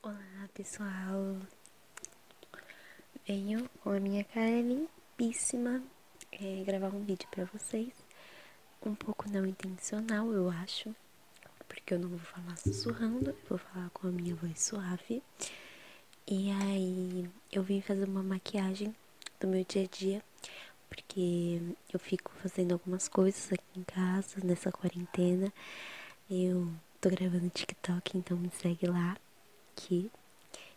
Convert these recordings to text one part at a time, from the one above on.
Olá pessoal, venho com a minha cara limpíssima é, gravar um vídeo para vocês, um pouco não intencional eu acho, porque eu não vou falar sussurrando, eu vou falar com a minha voz suave. E aí eu vim fazer uma maquiagem do meu dia a dia, porque eu fico fazendo algumas coisas aqui em casa nessa quarentena. Eu tô gravando TikTok, então me segue lá. Aqui,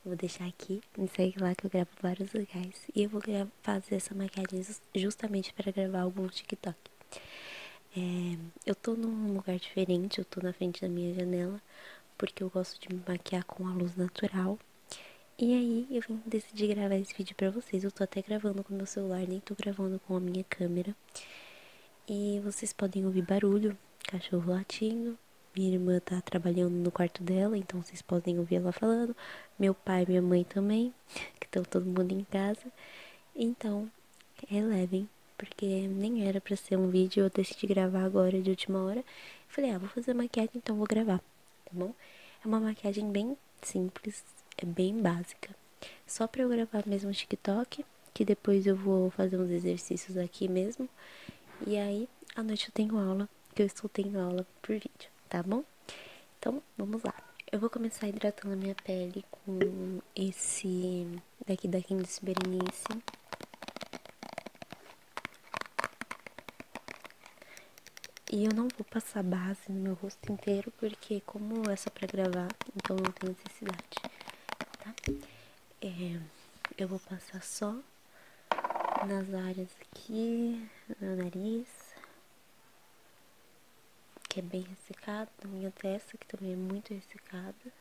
vou deixar aqui. Me segue lá que eu gravo vários lugares. E eu vou fazer essa maquiagem justamente para gravar algum TikTok. É, eu tô num lugar diferente, eu tô na frente da minha janela, porque eu gosto de me maquiar com a luz natural. E aí eu vim decidir gravar esse vídeo pra vocês. Eu tô até gravando com meu celular, nem tô gravando com a minha câmera. E vocês podem ouvir barulho, cachorro latindo. Minha irmã tá trabalhando no quarto dela, então vocês podem ouvir ela falando. Meu pai e minha mãe também, que estão todo mundo em casa. Então, relevem, porque nem era para ser um vídeo, eu decidi gravar agora de última hora. Falei, ah, vou fazer maquiagem, então vou gravar, tá bom? É uma maquiagem bem simples, é bem básica. Só pra eu gravar mesmo o TikTok, que depois eu vou fazer uns exercícios aqui mesmo. E aí, à noite eu tenho aula, que eu estou tendo aula por vídeo, tá bom? Então, vamos lá. Eu vou começar hidratando a minha pele com esse daqui daqui Candice Berenice. E eu não vou passar base, Assim, no meu rosto inteiro, porque como é só pra gravar, então não tem necessidade, tá? É, eu vou passar só nas áreas aqui, no nariz, que é bem ressecado, na minha testa, que também é muito ressecada.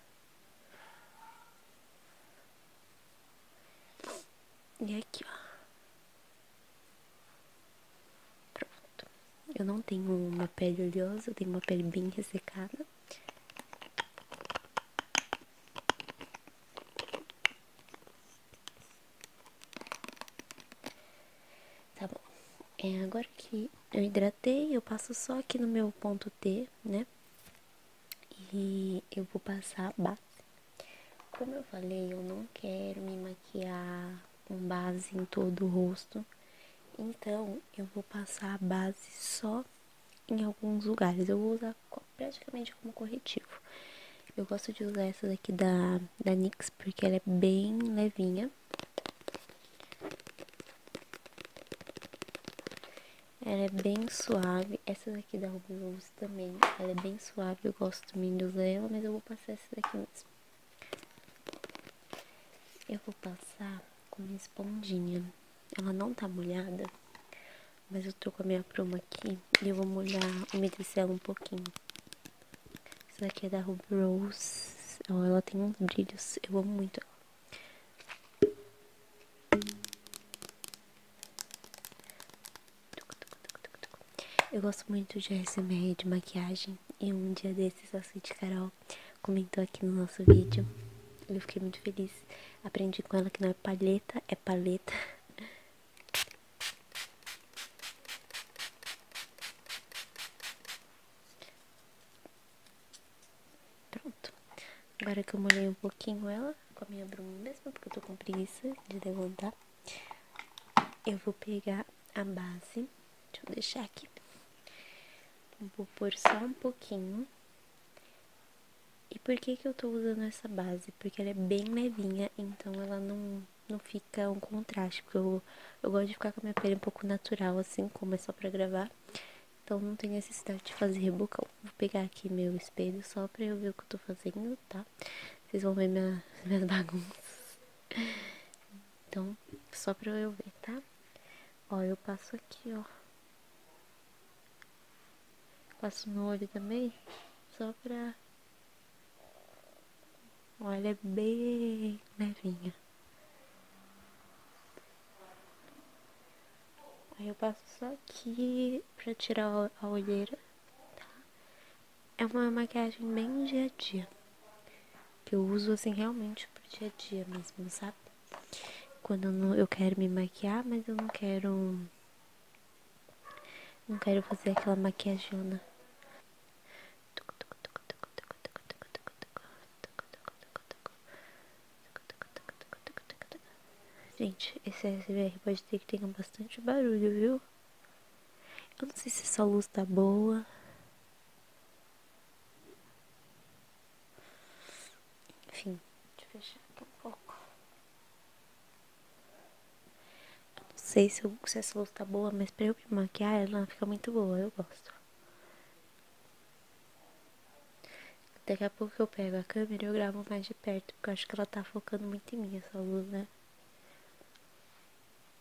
E aqui, ó. Pronto. Eu não tenho uma pele oleosa, eu tenho uma pele bem ressecada. Tá bom. É, agora que eu hidratei, eu passo só aqui no meu ponto T, né? E eu vou passar a base. Como eu falei, eu não quero me maquiar com base em todo o rosto. Então, eu vou passar a base só em alguns lugares. Eu vou usar praticamente como corretivo. Eu gosto de usar essa daqui da, da NYX, porque ela é bem levinha. Ela é bem suave. Essa daqui da Ruby Rose também, ela é bem suave. Eu gosto também de usar ela, mas eu vou passar essa daqui mais. Eu vou passar com minha esponjinha. Ela não tá molhada, mas eu tô com a minha pluma aqui e eu vou molhar, o ela um pouquinho. Isso daqui é da Ruby Rose. ela tem uns brilhos, eu amo muito ela. Eu gosto muito de ASMR de maquiagem e um dia desses a Sweet Carol comentou aqui no nosso vídeo. Eu fiquei muito feliz. Aprendi com ela que não é paleta, é paleta. Pronto. Agora que eu molhei um pouquinho ela com a minha bruma mesmo, porque eu tô com preguiça de levantar. Eu vou pegar a base, deixa eu deixar aqui. Vou pôr só um pouquinho. E por que que eu tô usando essa base? Porque ela é bem levinha, então ela não, não fica um contraste. Porque eu, eu gosto de ficar com a minha pele um pouco natural, assim, como é só pra gravar. Então não tem necessidade de fazer rebocão. Vou pegar aqui meu espelho só pra eu ver o que eu tô fazendo, tá? Vocês vão ver minha, minhas bagunças. Então, só para eu ver, tá? Ó, eu passo aqui, ó. Passo no olho também, só para. Olha, é bem levinha. Aí eu passo aqui para tirar a olheira, tá? É uma maquiagem bem dia a dia. Que eu uso assim realmente pro dia a dia mesmo, sabe? Quando eu, quero me maquiar, mas eu não quero. Não quero fazer aquela maquiagem. Gente, esse SBR pode ter que ter bastante barulho, viu? Eu não sei se essa luz tá boa. Enfim, deixa eu fechar aqui um pouco. Eu não sei se, essa luz tá boa, mas pra eu me maquiar ela fica muito boa, eu gosto. Daqui a pouco eu pego a câmera e eu gravo mais de perto, porque eu acho que ela tá focando muito em mim, essa luz, né?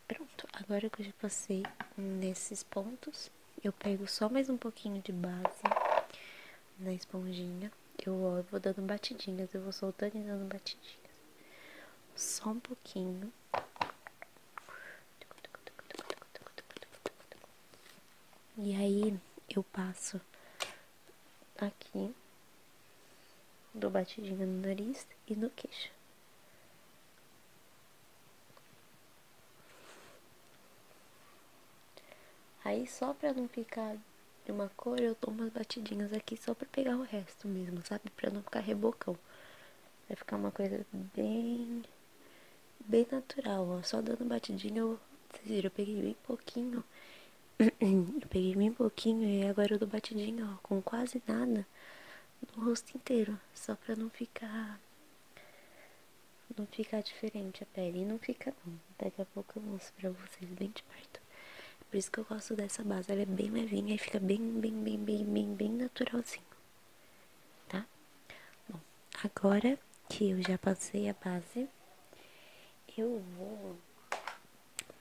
Pronto, agora que eu já passei nesses pontos, eu pego só mais um pouquinho de base na esponjinha. Eu, eu vou dando batidinhas, eu vou soltando e dando batidinhas. Só um pouquinho. E aí eu passo aqui, dou batidinha no nariz e no queixo. Aí só pra não ficar de uma cor, eu dou umas batidinhas aqui só pra pegar o resto mesmo, sabe? Pra não ficar rebocão. Vai ficar uma coisa bem, bem natural, ó. Só dando batidinha, eu, vocês viram, eu peguei bem pouquinho. eu peguei bem pouquinho e agora eu dou batidinha, ó, com quase nada no rosto inteiro, só pra não ficar não ficar diferente a pele, e não fica não, daqui a pouco eu mostro pra vocês bem de perto, por isso que eu gosto dessa base, ela é bem levinha e fica bem, bem, bem, bem, bem, bem naturalzinho, tá? Bom, agora que eu já passei a base, eu vou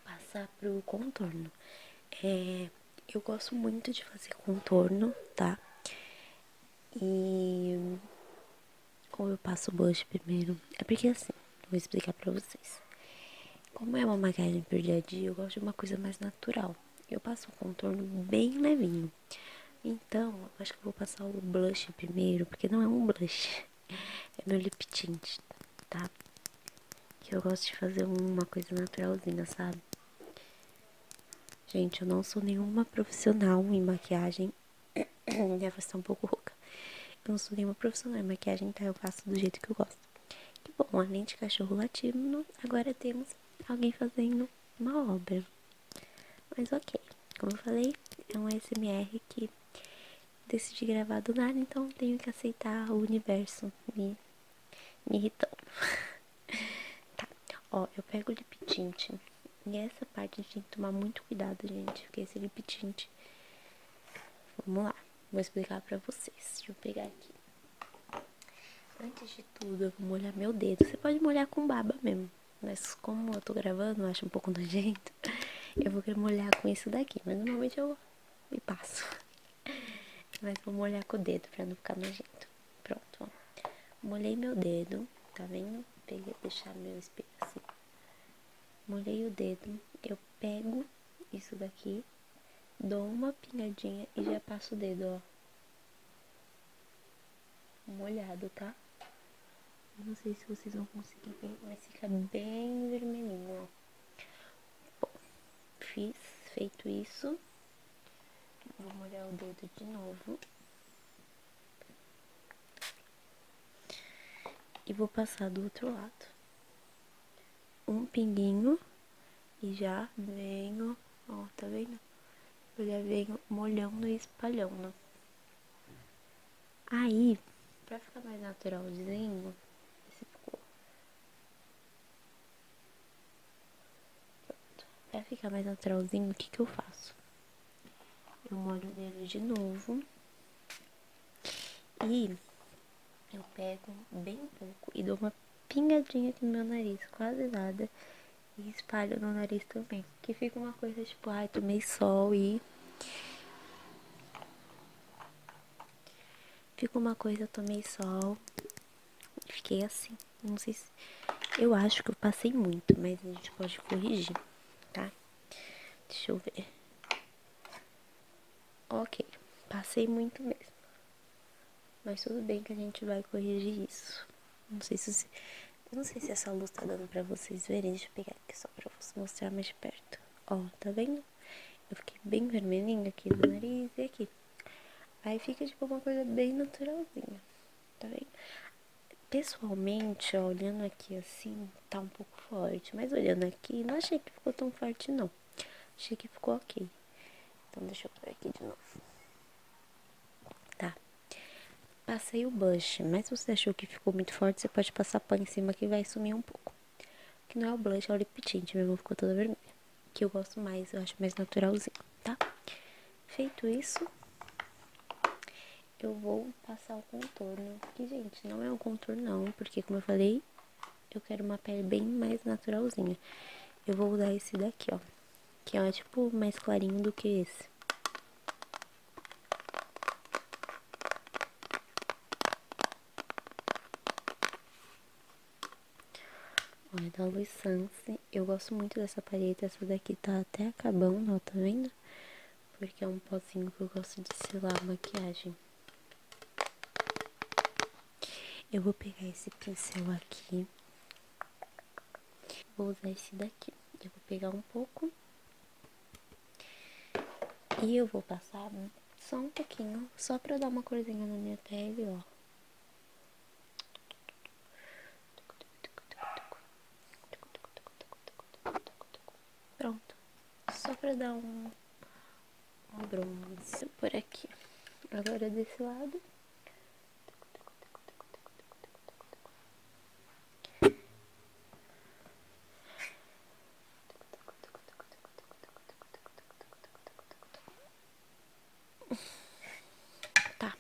passar pro contorno. É, eu gosto muito de fazer contorno, tá? E como eu passo o blush primeiro? É porque assim, vou explicar pra vocês. Como é uma maquiagem pro dia a dia, eu gosto de uma coisa mais natural. Eu passo um contorno bem levinho. Então, acho que eu vou passar o blush primeiro, porque não é um blush, é meu lip tint, tá? Que eu gosto de fazer uma coisa naturalzinha, sabe? Gente, eu não sou nenhuma profissional em maquiagem. Minha estar tá um pouco rouca. Eu não sou nenhuma profissional em maquiagem, então Eu faço do jeito que eu gosto. Que bom, além de cachorro latindo, agora temos alguém fazendo uma obra. Mas ok, como eu falei, é um SMR que decidi gravar do nada, então tenho que aceitar o universo me, me irritando. tá, ó, eu pego o lip tint. E essa parte a gente tem que tomar muito cuidado, gente, porque esse lip tint... Vamos lá, vou explicar pra vocês. Deixa eu pegar aqui. Antes de tudo, eu vou molhar meu dedo. Você pode molhar com baba mesmo, mas como eu tô gravando, eu acho um pouco nojento. Eu vou querer molhar com isso daqui, mas normalmente eu e passo. Mas vou molhar com o dedo pra não ficar nojento. Pronto, ó. Molhei meu dedo, tá vendo? Peguei, deixar meu espelho assim. Molhei o dedo, eu pego isso daqui, dou uma pingadinha e já passo o dedo, ó molhado, tá? Não sei se vocês vão conseguir ver, mas fica bem vermelhinho, ó. Bom, fiz, feito isso, vou molhar o dedo de novo. E vou passar do outro lado. Um pinguinho e já venho, ó, tá vendo? Eu já venho molhando e espalhando. Aí, pra ficar mais naturalzinho, esse ficou. Pronto. Pra ficar mais naturalzinho, o que que eu faço? Eu molho o dedo de novo. E eu pego bem pouco e dou uma pingadinha aqui no meu nariz, quase nada. E espalho no nariz também. Que fica uma coisa tipo, ai, tomei sol e Digo uma coisa, eu tomei sol. Fiquei assim. Não sei se. Eu acho que eu passei muito, mas a gente pode corrigir, tá? Deixa eu ver. Ok, passei muito mesmo. Mas tudo bem que a gente vai corrigir isso. Não sei se. essa luz tá dando pra vocês verem. Deixa eu pegar aqui só pra mostrar mais perto. Ó, tá vendo? Eu fiquei bem vermelhinho aqui no nariz e aqui. Aí fica tipo uma coisa bem naturalzinha, tá vendo? Pessoalmente, olhando aqui assim, tá um pouco forte. Mas olhando aqui, não achei que ficou tão forte, não. Achei que ficou ok. Então, deixa eu pôr aqui de novo. Tá. Passei o blush, mas se você achou que ficou muito forte, você pode passar pano em cima que vai sumir um pouco. Que não é o blush, é o lip tint. Minha mão ficou toda vermelha. Que eu gosto mais, eu acho mais naturalzinho, tá? Feito isso, eu vou passar o contorno. Que, gente, não é um contorno não, porque como eu falei, eu quero uma pele bem mais naturalzinha. Eu vou usar esse daqui, ó. Que é tipo mais clarinho do que esse. Olha, é da Luiz né? Eu gosto muito dessa parede. Essa daqui tá até acabando, ó, tá vendo? Porque é um pozinho que eu gosto de selar a maquiagem. Eu vou pegar esse pincel aqui. Vou usar esse daqui. Eu vou pegar um pouco e eu vou passar só um pouquinho, só pra dar uma corzinha na minha pele, ó. Pronto. Só pra dar um, um bronze por aqui. Agora desse lado. Tá.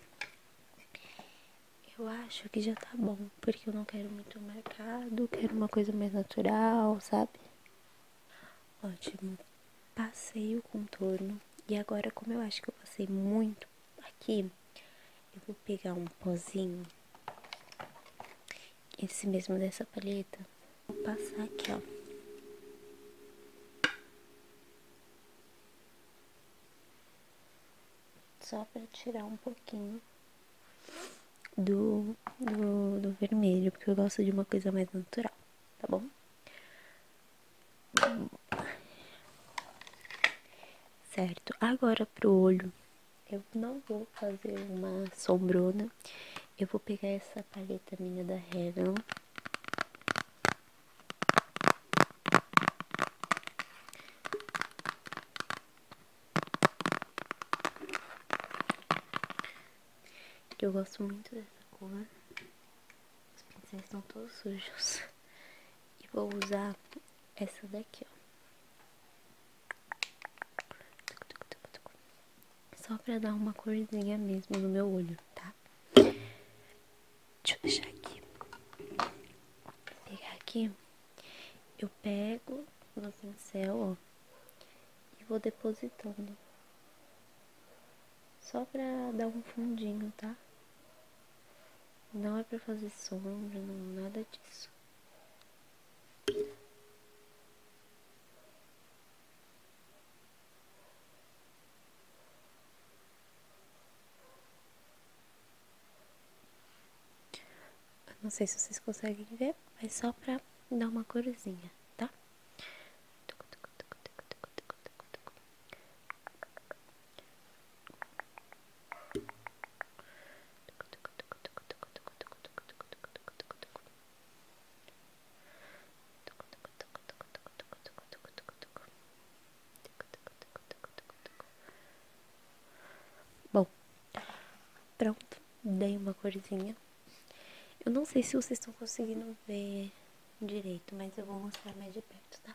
Eu acho que já tá bom, porque eu não quero muito marcado, quero uma coisa mais natural, sabe? Ótimo. Passei o contorno e agora como eu acho que eu passei muito aqui, eu vou pegar um pozinho, esse mesmo dessa palheta, vou passar aqui, ó. só para tirar um pouquinho do, do, vermelho, porque eu gosto de uma coisa mais natural, tá bom? Certo, agora pro olho, eu não vou fazer uma sombrona. Eu vou pegar essa paleta minha da Revlon. Eu gosto muito dessa cor. Os pincéis estão todos sujos. E vou usar essa daqui, ó. Só pra dar uma corzinha mesmo no meu olho, tá? Deixa eu deixar aqui. Vou pegar aqui. Eu pego no pincel, ó. E vou depositando. Só pra dar um fundinho, tá? Não é pra fazer sombra, não, nada disso não sei se vocês conseguem ver, é só pra dar uma corzinha, tá? Bom, pronto, dei uma corzinha. Eu não sei se vocês estão conseguindo ver direito, mas eu vou mostrar mais de perto, tá?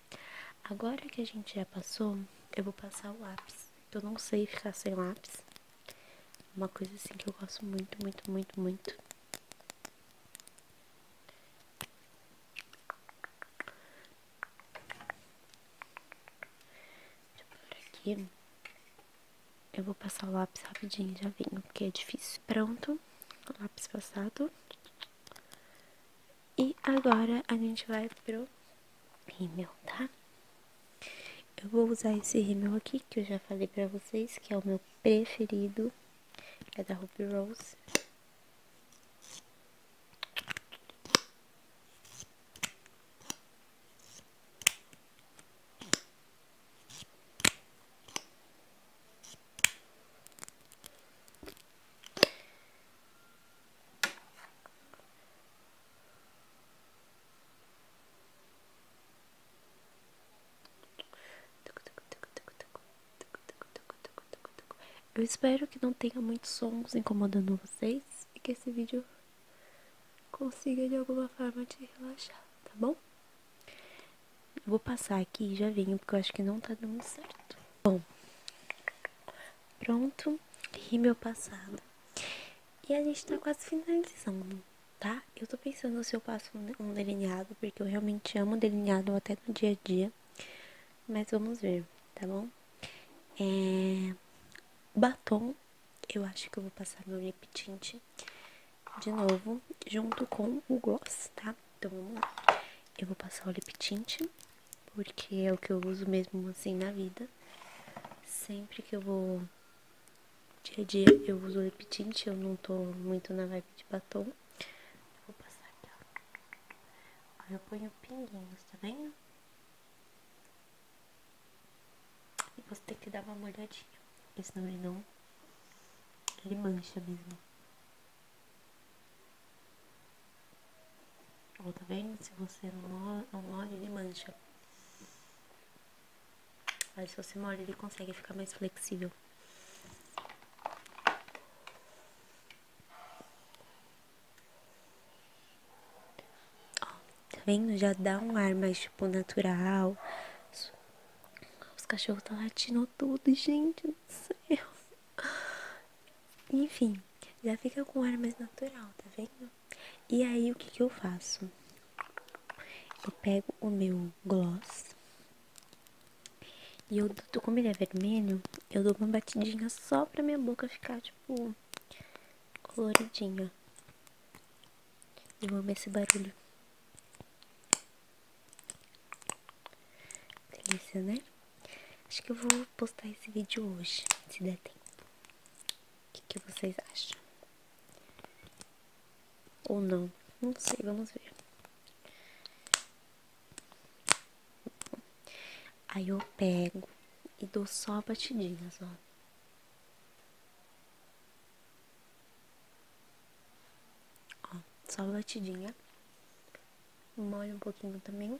Agora que a gente já passou, eu vou passar o lápis. Eu não sei ficar sem lápis. Uma coisa assim que eu gosto muito, muito, muito, muito. aqui. Eu vou passar o lápis rapidinho, já venho, porque é difícil. Pronto, lápis passado. E agora a gente vai pro rímel, tá? Eu vou usar esse rímel aqui, que eu já falei pra vocês, que é o meu preferido. É da Ruby Rose. Eu espero que não tenha muitos sons incomodando vocês e que esse vídeo consiga de alguma forma te relaxar, tá bom? vou passar aqui e já venho, porque eu acho que não tá dando certo. Bom, pronto, rímel passado. E a gente tá quase finalizando, tá? Eu tô pensando se eu passo um delineado, porque eu realmente amo delineado até no dia a dia. Mas vamos ver, tá bom? É... Batom, eu acho que eu vou passar meu lip tint de novo, junto com o gloss, tá? Então Eu vou passar o lip tint, porque é o que eu uso mesmo assim na vida. Sempre que eu vou dia a dia eu uso o lip tint, eu não tô muito na vibe de batom. Vou passar aqui, ó. Aí eu ponho pinguinhos, tá vendo? E você tem que dar uma molhadinha, porque senão ele não... Ele mancha mesmo. Ó, tá vendo? Se você não, não molha, ele mancha. Mas se você molha, ele consegue ficar mais flexível. Ó, tá vendo? Já dá um ar mais, tipo, natural. Os cachorros tá latindo todo, gente do céu. Enfim, já fica com ar mais natural, tá vendo? E aí, o que que eu faço? Eu pego o meu gloss e eu, como ele é vermelho, eu dou uma batidinha só pra minha boca ficar, tipo, coloridinha. e vou amo esse barulho. Delícia, né? Acho que eu vou postar esse vídeo hoje, se der tempo. O que, vocês acham? Ou não? Não sei, vamos ver. Aí eu pego e dou só batidinhas, ó. Ó, só batidinha. Molha um pouquinho também.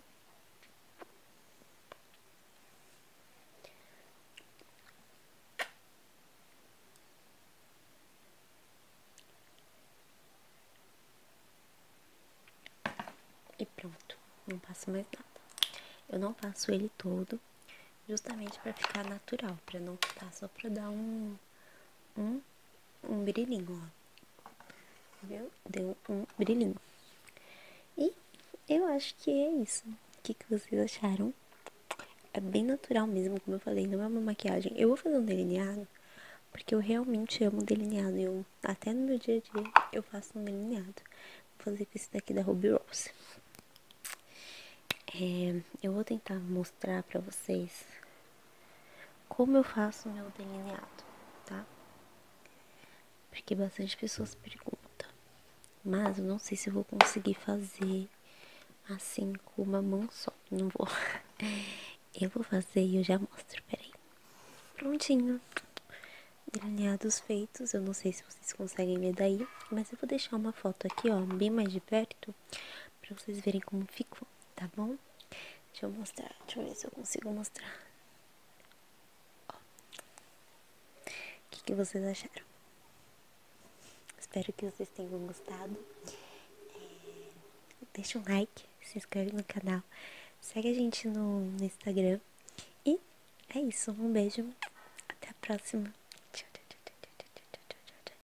E pronto, não passa mais nada. Eu não passo ele todo, justamente para ficar natural, para não ficar só para dar um um, um brilhinho, ó. Viu? Deu um brilhinho. E eu acho que é isso. O que, vocês acharam? É bem natural mesmo, como eu falei, não é uma maquiagem. Eu vou fazer um delineado, porque eu realmente amo delineado. Eu, até no meu dia a dia, eu faço um delineado. Vou fazer com esse daqui da Ruby Rose. É, eu vou tentar mostrar pra vocês como eu faço meu delineado, tá? Porque bastante pessoas perguntam, mas eu não sei se eu vou conseguir fazer assim com uma mão só. Não vou. Eu vou fazer e eu já mostro, peraí. Prontinho. Delineados feitos, eu não sei se vocês conseguem ver daí, mas eu vou deixar uma foto aqui, ó, bem mais de perto, pra vocês verem como ficou tá bom? Deixa eu mostrar, deixa eu ver se eu consigo mostrar. O que, vocês acharam? Espero que vocês tenham gostado. É, deixa um like, se inscreve no canal, segue a gente no, Instagram. E é isso, um beijo, até a próxima. tchau